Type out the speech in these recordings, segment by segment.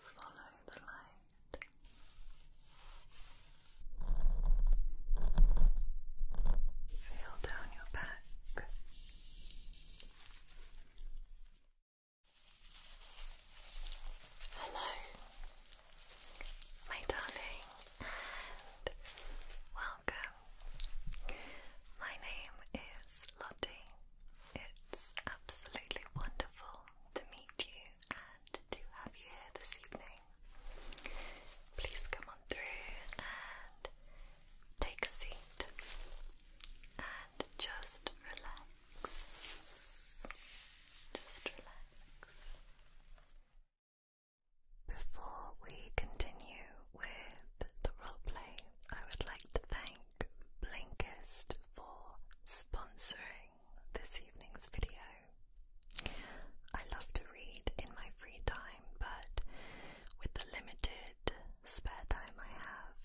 Follow the light. Feel down your back. Hello, my darling, welcome my name is Lottie. It's absolutely wonderful to meet you and to have you here this evening. Please come on through and take a seat and just relax. Just relax. Before we continue with the roleplay, I would like to thank Blinkist for sponsoring this evening's video. I love to read in my free time, but with the limited spare time I have,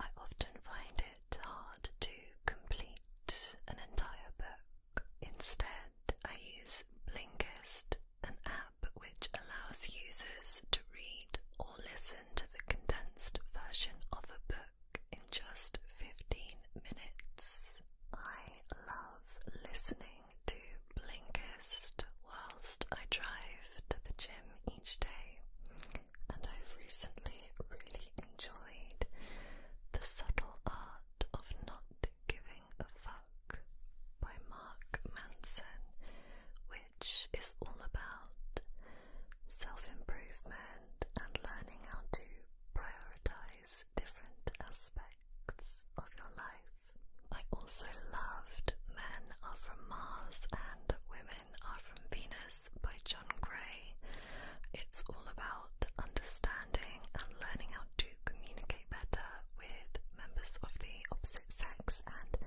I often find it hard to complete an entire book. Instead, I use Blinkist, an app which allows users to read or listen to the condensed version of a book in just 15 minutes. I love listening to Blinkist whilst I drive to the gym each day, and I've recently really enjoyed The Subtle Art of Not Giving a Fuck by Mark Manson, which is all about self improvement and learning how to prioritize different aspects of your life. I also loved Men Are From Mars and Women Are From Venus by John Gray. It's all about understanding and learning how to communicate better with members of the opposite sex and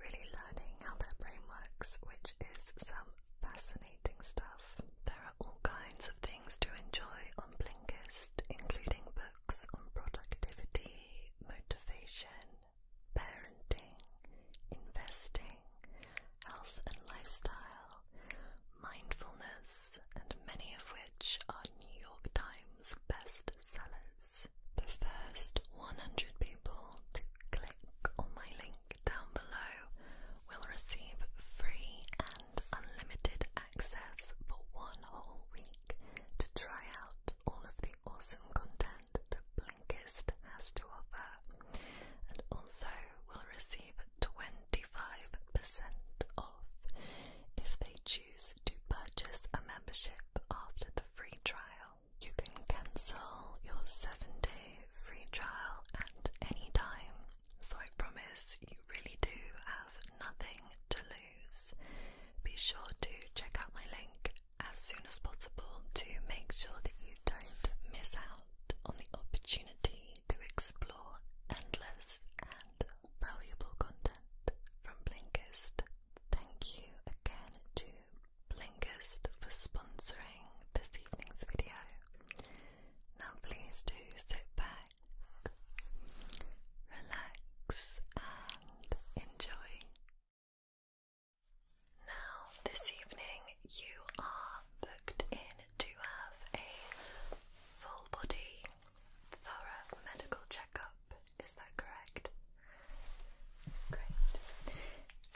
really learning how their brain works, which is some fascinating stuff. There are all kinds of things to enjoy on Blinkist, including books on productivity, motivation, parenting, investing, health and lifestyle, mindfulness, and many of which are New York Times times The first 100 people to click on my link down below will receive free and unlimited access for one whole week to try out all of the awesome content that Blankist has to offer, and also will receive 25% off if they choose to purchase a membership after the free trial. You can cancel your seven day free trial at any time, so I promise you really do have nothing to lose. Be sure to check out my link as soon as possible to make sure that you don't miss out on the opportunity to explore endless and valuable content from Blinkist. Thank you again to Blinkist for sponsoring this evening's video. Now, please do sit back, relax, and enjoy. Now, this evening, you are booked in to have a full body, thorough medical checkup is that correct? Great.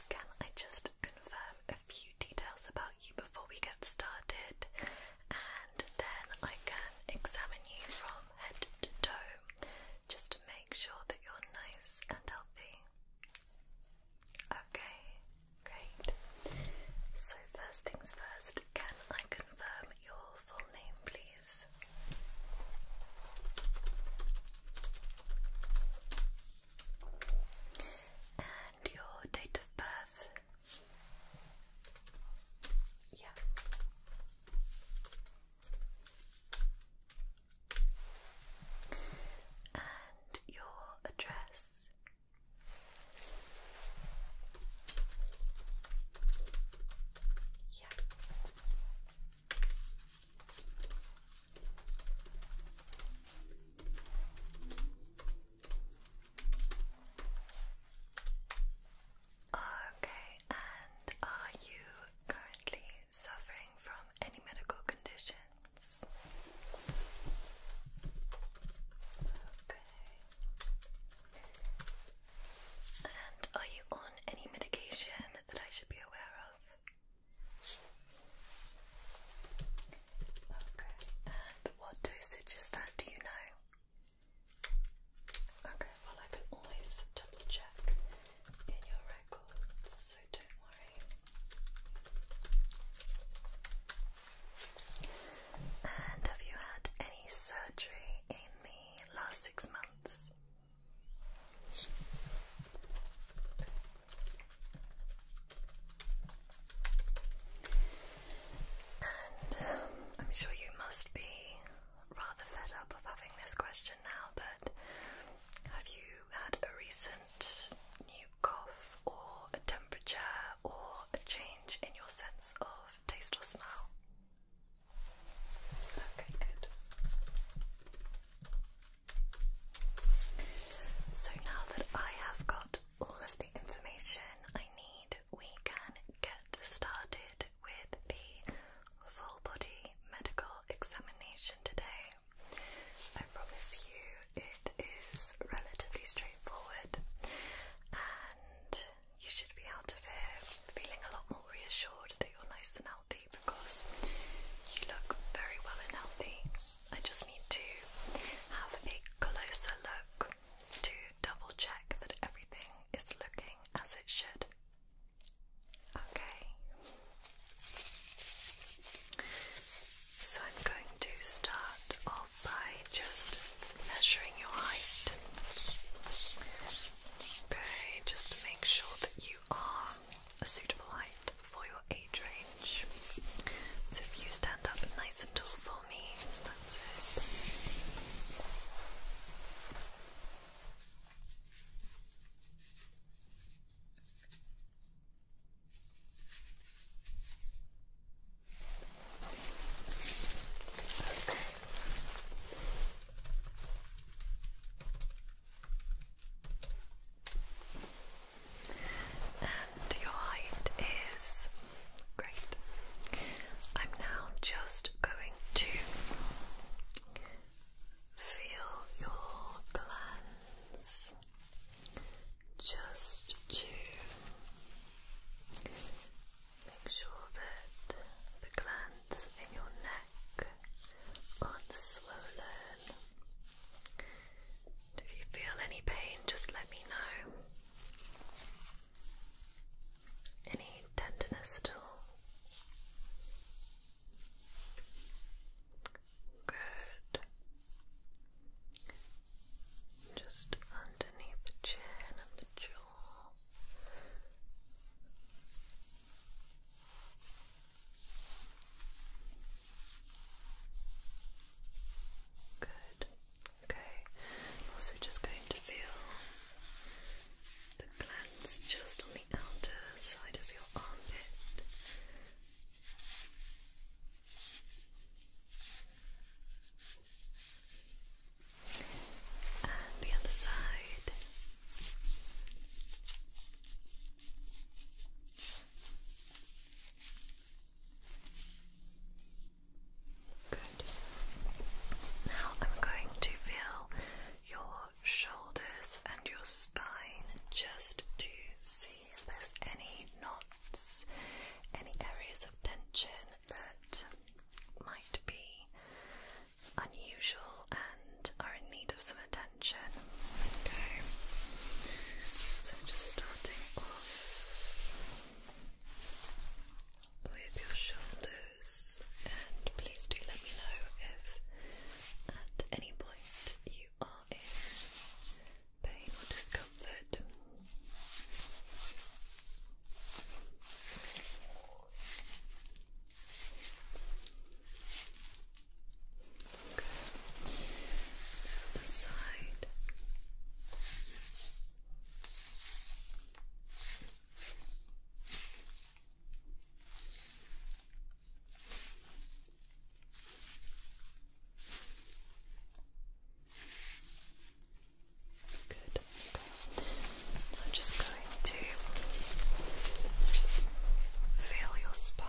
Can I just confirm a few details about you before we get started? And then I can examine you from head to toe just to make sure that you're nice and healthy. Okay, great. So, first things first, can I confirm your full name, please? And your date of birth? Yeah. And your address? Yeah. Okay, and are you currently suffering from any medical conditions? Okay. And are you on any medication that I should be aware of? Okay. And what dosage is that? Do you know? Okay, well, I can always double check in your records, so don't worry. And have you had any surgery in the last six months? Um, I'm sure you must be rather fed up of having this question now, but have you had a recent new cough or a temperature or a change in your sense of taste or smell? Okay, good. So now that I have got all of the information I need, we can get started with the full body medical examination today. I promise you it is relatively straightforward and you should be out of here feeling a lot more reassured that you're nice and healthy because you look very well and healthy. I just need to have a closer look to double check that everything is looking as it should. Okay. So I'm going to start off by just measuring your height. Okay, just to make sure that you are a suitable height for your age range. So if you stand up nice and tall for me, that's it. Okay. And your height is great. I'm now just going to feel your glands just to make sure that the glands in your neck aren't swollen. If you feel any pain, just let me know. Any tenderness at all? Good. Just underneath the chin and the jaw. Good. Okay. also just going to feel the glands just on the outer side of your armpit. And the other side. Good. Now I'm going to feel your shoulders and your spine just to see if there's any knots, any areas of tension that might be unusual and are in need of some attention. Okay, so just starting off with your shoulders, and please do let me know if at any point you are in pain or discomfort the side. Good. Okay. I'm just going to feel your spine.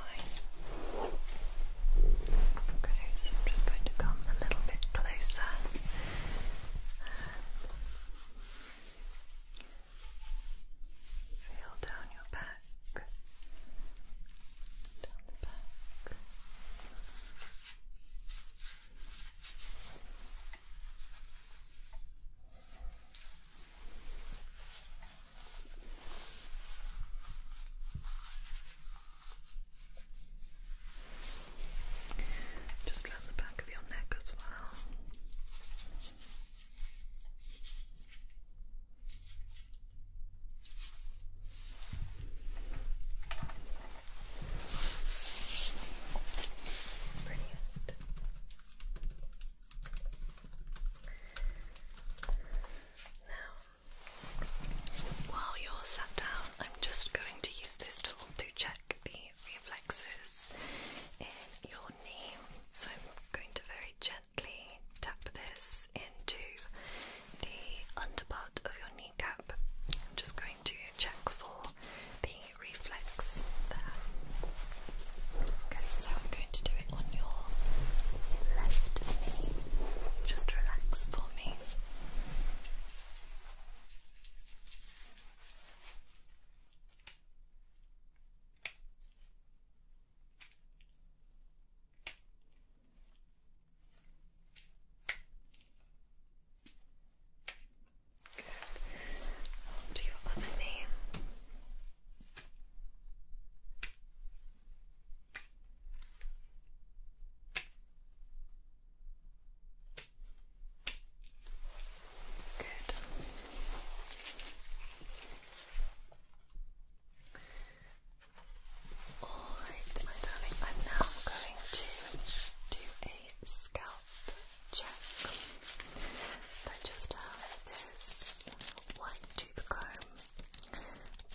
I'm just going to come a little bit closer. feel down your back. Down the back. Just around the back of your neck as well. Brilliant. Now, while you're sat down, I'm just going to use this tool to check the reflexes in your knee. So I'm going to very gently tap this into the underpart of your kneecap. I'm just going to check for the reflex Okay, so I'm going to do it on your left knee. Just relax for me. Onto your other knee. Good. Alright, my darling, I'm now going to do a scalp check. I just have this white tooth comb.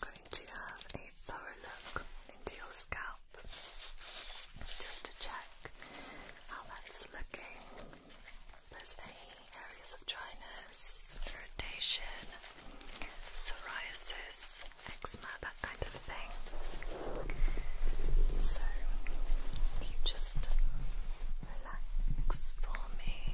going to have a thorough look into your scalp just to check how that's looking. There's any areas of dryness, irritation, psoriasis, eczema, that kind of thing. So you just relax for me.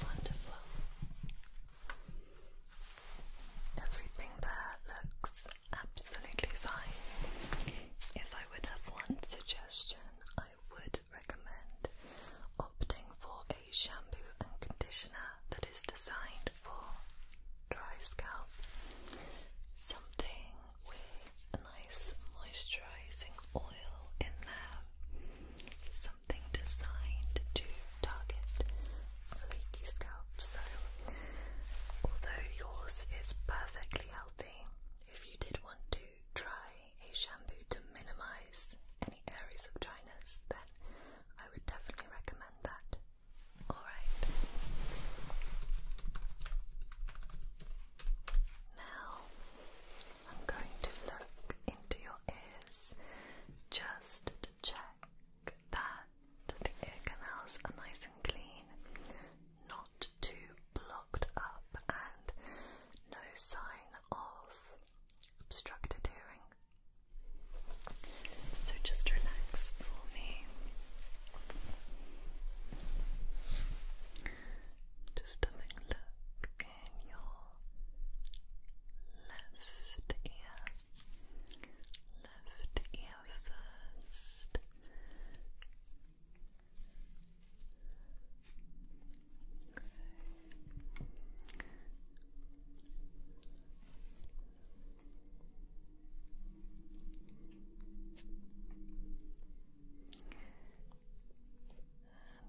Wonderful. Everything there looks absolutely fine. If I would have one suggestion, I would recommend opting for a shampoo and conditioner that is designed for dry scalp. Something with a nice moisturizing oil in there. Something designed to target flaky scalp. So, although yours is perfectly healthy, if you did want to try a shampoo to minimize any areas of dryness, then I would definitely recommend that. Alright. Now I'm going to look into your ears just to check that the ear canals are nice and clean, not too blocked up, and no sign of obstructed hearing. So just relax for me. Just having a look in your left ear. Left ear first. And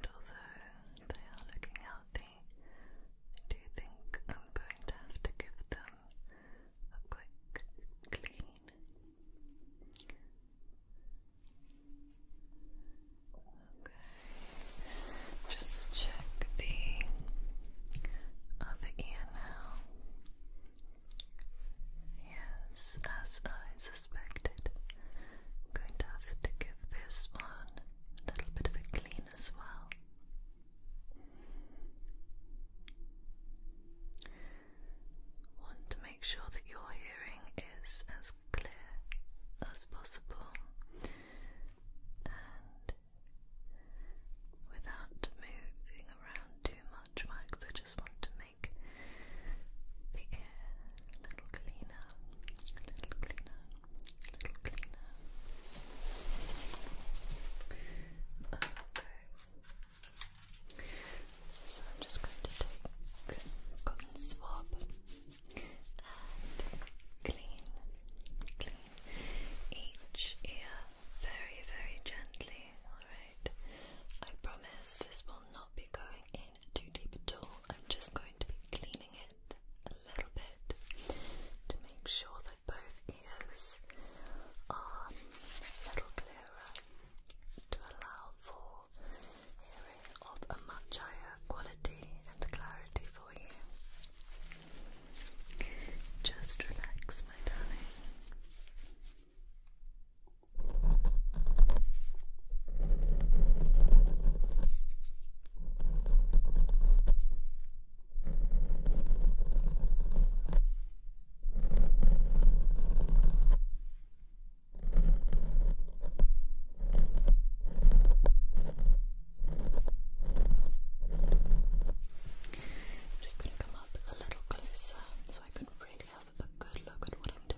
although they are looking healthy, I do think I'm going to have to give them a quick clean. Okay. Just to check the other ear now. Yes, as I suspected, I'm going to have to give this one a little bit of a clean as well. Want to make sure that your hearing is as as clear as possible and without moving around too much wax, I just want to make the ear a little cleaner, a little cleaner, a little cleaner. Okay. So I'm just going to take a cotton swab clean, clean each ear very, very gently. Alright, I promise this will not be going in too deep at all. I'm just going to be cleaning it a little bit to make sure that both ears are a little clearer to allow for a of a much higher quality and clarity for you. Just relax, my darling. I'm just going to come up a little closer so I can really have a good look at what I'm doing.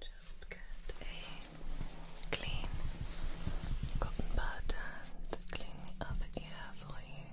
Just get a clean cotton pad and clean the other for you.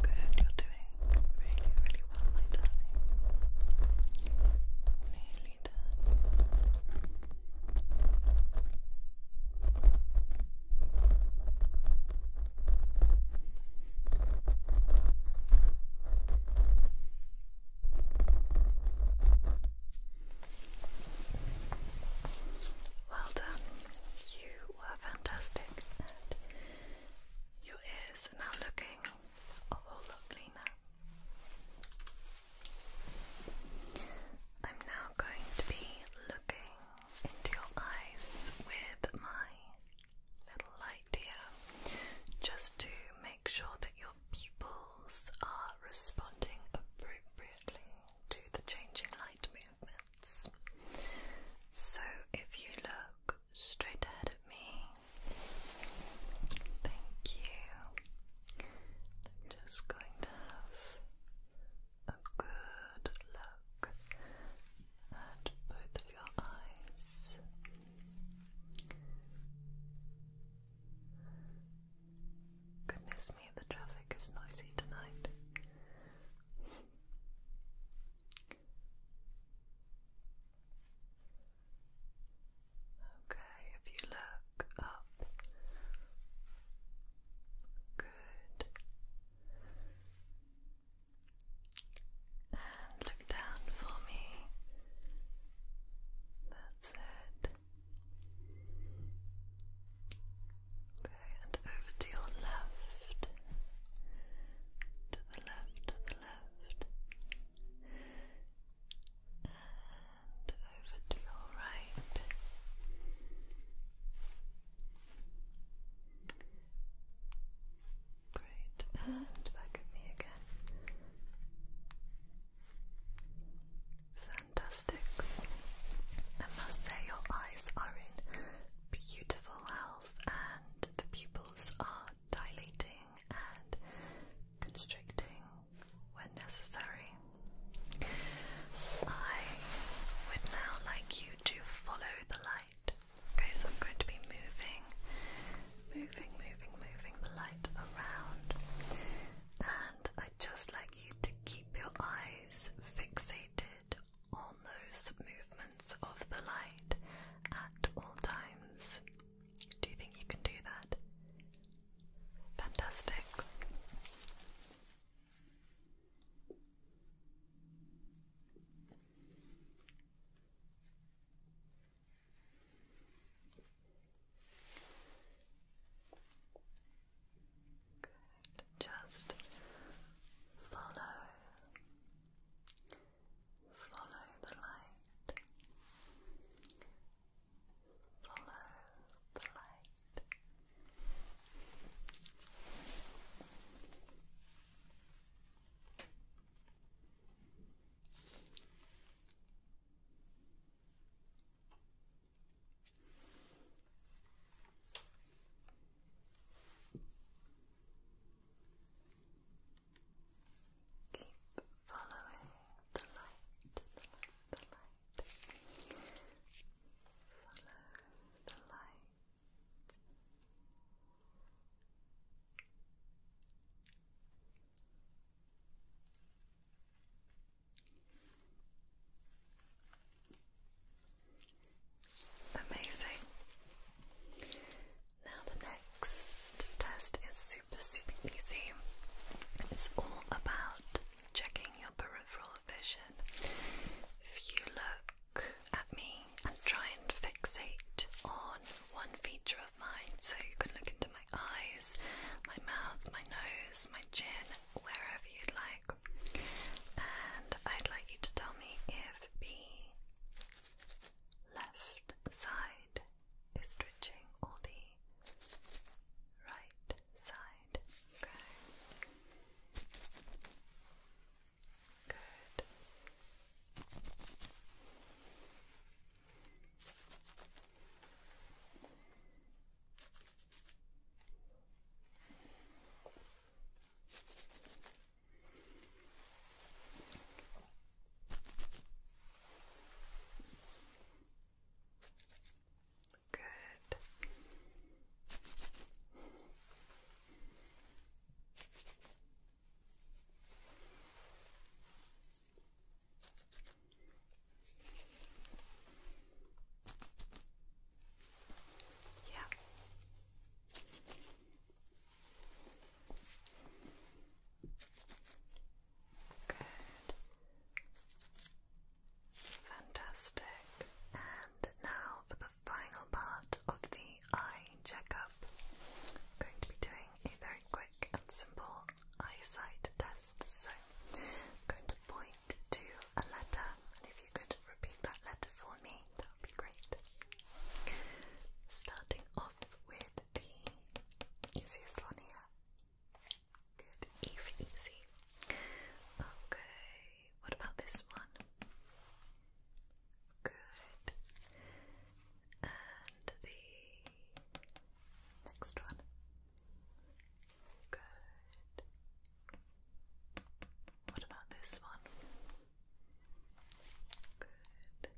Good, you're doing really, really well, my darling. Nearly done. Well done, you were fantastic, and your ears are now looking a whole lot cleaner. I'm now going to be looking into your eyes with my little light here just to make sure that your pupils are responding appropriately to the changing light movements. So if you look straight ahead at me, thank you. I'm just going to have a good look at both of your eyes. Goodness me, the traffic is noisy tonight. Okay, if you look up. Good. And look down for me. That's it. Okay, and over to your left. To the left, to the left and over to your right. Great, and back at me again. Fantastic. I must say, your eyes are in beautiful health, and the pupils are dilating and constricting when necessary. I would now like you to follow the light. Okay, I'm going to be moving, moving, moving, moving the light around, and I just like you to keep your eyes fixated on those movements of the light at all times. Do you think you can do that? Fantastic. Good. Just follow, follow the light. Follow the light. Keep following the light, Follow the light. Amazing. Now, the next test is super, super easy. It's all about checking your peripheral vision. If you look at me and try and fixate on one feature of mine, so you can look into my eyes, my mouth, my nose, my chin, wherever you'd like, and I'd like you to tell me if the left side is twitching or the right side side. Okay. Good. Good. Yeah. Good. Fantastic. And now for the final part of the eye checkup. I'm going to be doing a very quick and simple eyesight test. So I'm going to point to a letter, and if you could repeat that letter for me, that would be great. Starting off with the easiest one here. Good, easy. Okay, what about this one? Good. And the next one. Good. What about this one? Good.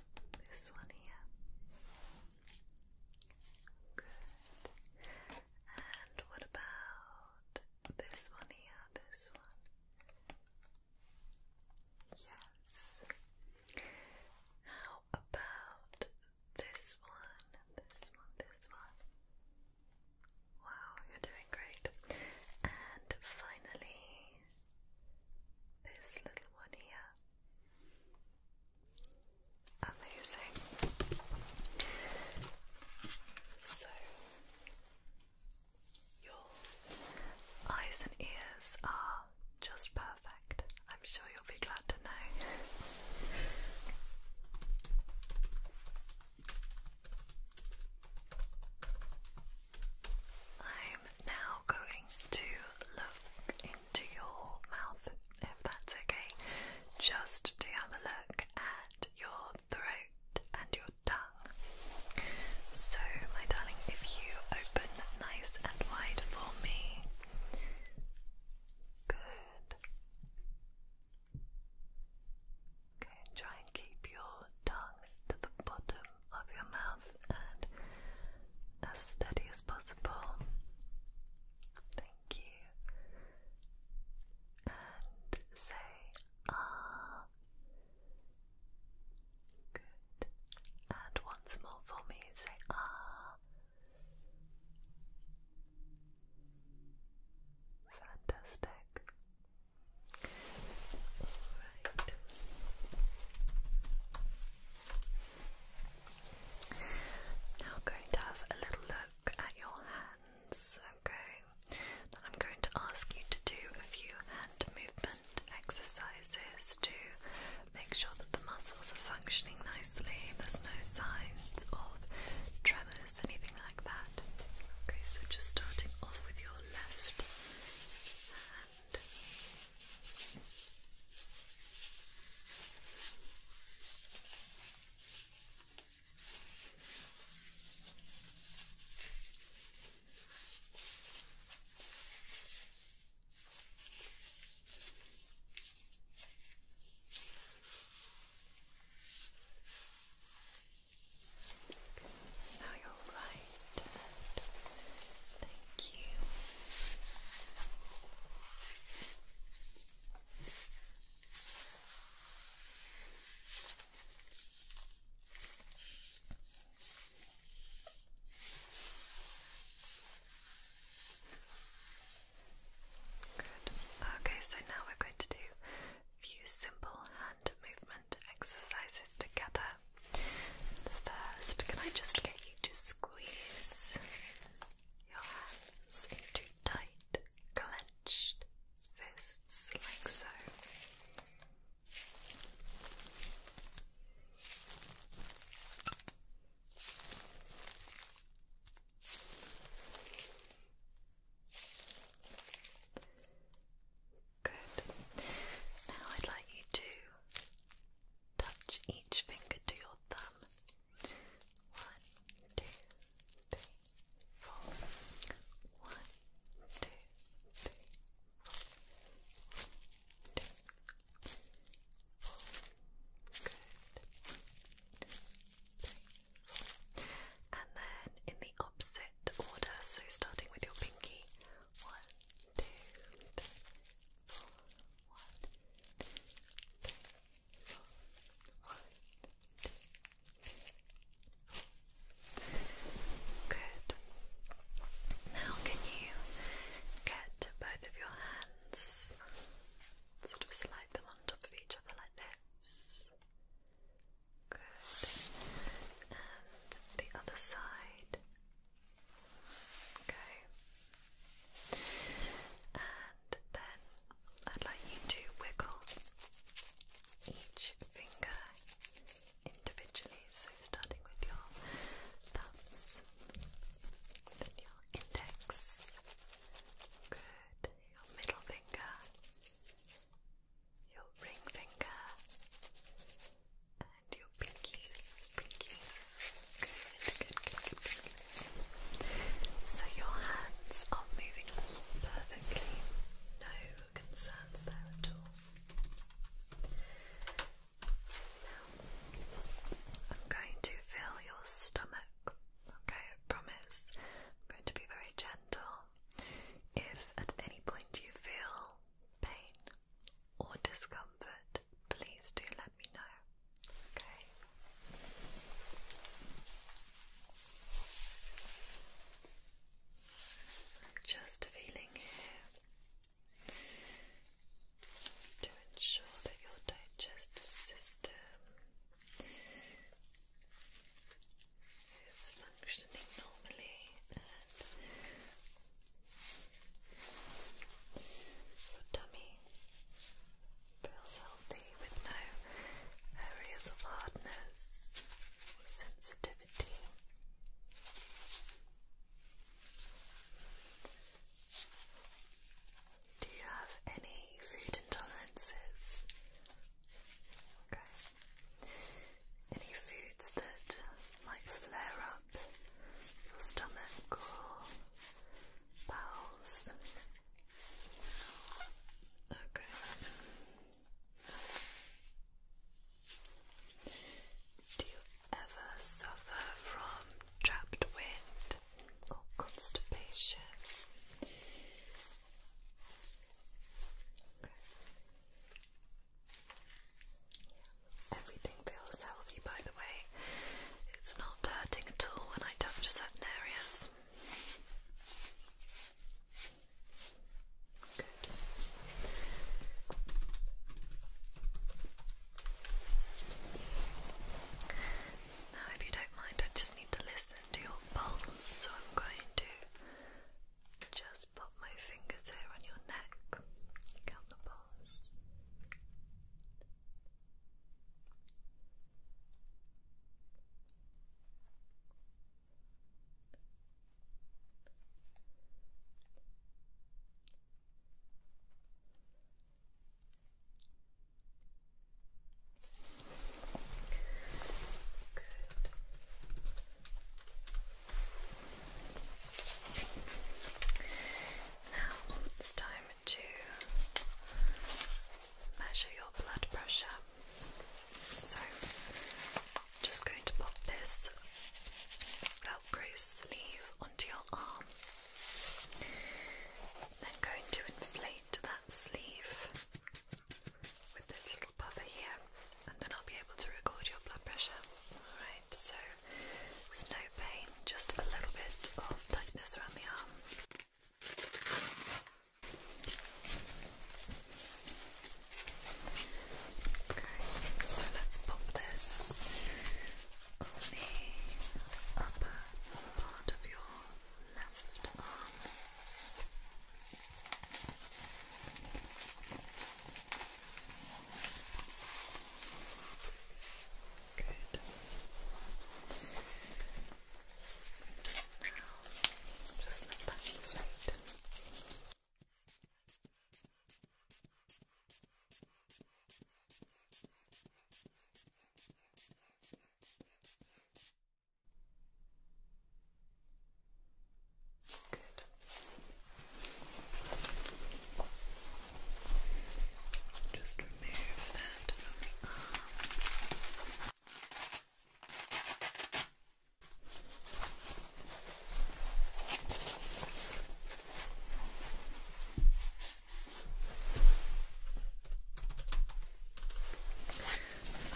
And this one here. And what about this one here? This one? Yes. How about this one? This one, this one. Wow, you're doing great. And finally, this little one here. Amazing. So, your eyes and ears are just perfect. I'm sure you'll be glad to know. I'm now going to look in to your mouth, if that's okay, just to have a look at your throat and your tongue. So, my darling, if you open nice and wide for me. Good. Okay, try and keep your tongue to the bottom of your mouth and as steady as possible. Thank you. And say ah. Good. And once more for me, say ah. Fantastic. All right. Now I'm going to have a little look at your hands, okay? Then I'm going to ask you to do a few hand movement exercises to make sure that the muscles are functioning nicely, there's no signs of tremors, anything like that. Okay, so just starting off with your left hand. Now you're all right. And thank you. Okay, so now we're going to do a few simple hand movement exercises together. First, can I just get you to squeeze your hands into tight, clenched fists like so. Good. Now I'd like you to touch each finger to your thumb one, two, three, four. One, two, three, four. One, two, four. Good. Three, and then in the opposite order, so starting with your pinky. One, two, three, four. Good. Now, can you get both of your hands, sort of slide them on top of each other like this? Good. And the other side. Okay. And then I'd like you to wiggle each finger individually. So starting with your thumbs, then your index, good, your middle finger, your ring finger, and your pinkies, pinkies. So your hands are moving perfectly. No concerns there at all. Now, I'm going to fill your stomach. Okay, I promise. I'm going to be very gentle. If at any point you feel pain or discomfort, please do let me know. Okay. just feeling here to ensure that your digestive system is functioning normally and Feels healthy with no areas of hardness or sensitivity. Do you have any food intolerances? Okay. Any foods that might flare up? your stomach or bowels. Okay. Do you ever suffer from trapped wind or constipation? Okay. Everything feels healthy, by the way. It's not hurting at all when I touch certain areas. Good. Now, if you don't mind, I just need to listen to your pulse, so I'm going to just pop my fingers here on your neck, count the pulse. Now it's time to measure your blood pressure. So, I'm just going to pop this Velcro sleeve onto your arm. Then going to inflate that sleeve with this little buffer here, and then I'll be able to record your blood pressure. Alright, so there's no pain, just a little bit of tightness around the arm. Okay, so let's pop this on the upper part of your left arm. Good. Now, just let that inflate. Good.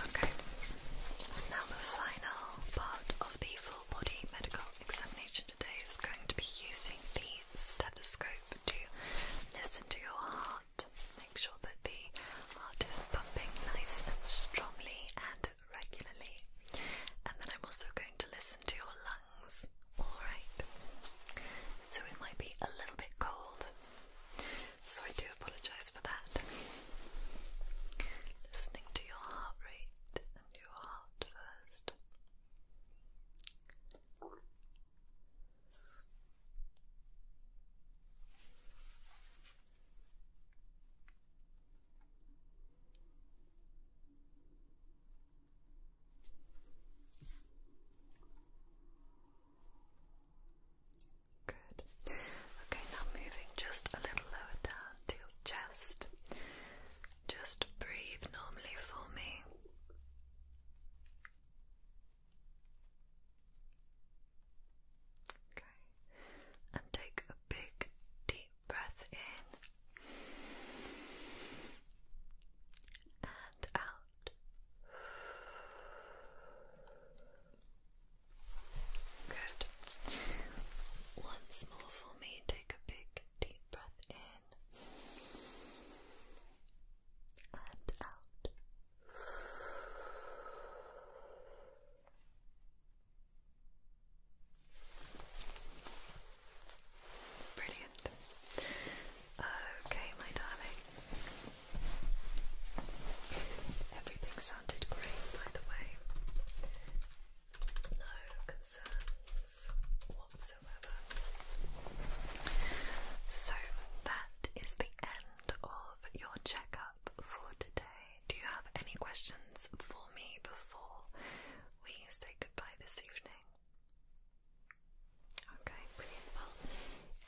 Okay, now the final part of the full body medical examination today is going to be using the stethoscope to listen to your heart. Make sure that the heart is pumping nice and strongly and regularly. And then I'm also going to listen to your lungs. Alright. So it might be a little bit cold. So I do apologise for that. Listening to your heart rate and your heart first. Good. Okay, now moving just a little lower down to your chest. Just breathe normally for me. Okay. And take a big deep breath in and out. Good. Once more for me, take a big deep breath in and out. Brilliant. Okay, my darling. Everything sounded great, by the way. No concerns whatsoever. So that is the end of your checkup for today. Do you have any questions for me before we say goodbye this evening? Okay, brilliant.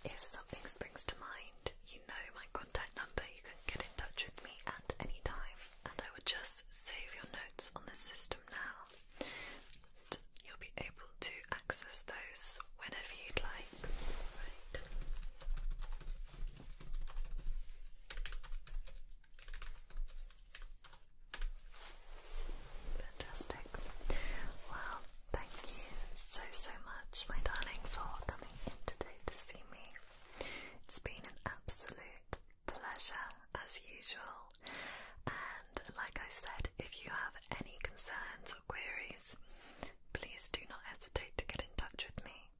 if something springs to mind, you know my contact number, you can get in touch with me at any time, and I would just save your notes on the system now you'll be able to access those whenever you'd like. Fantastic. Well, thank you so, so much, my darling, for coming in today to see me. It's been an absolute pleasure, as usual. And like I said, if you have any concerns or queries, please do not hesitate to get in touch with me.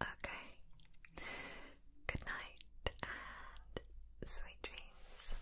Okay? Good night and sweet dreams.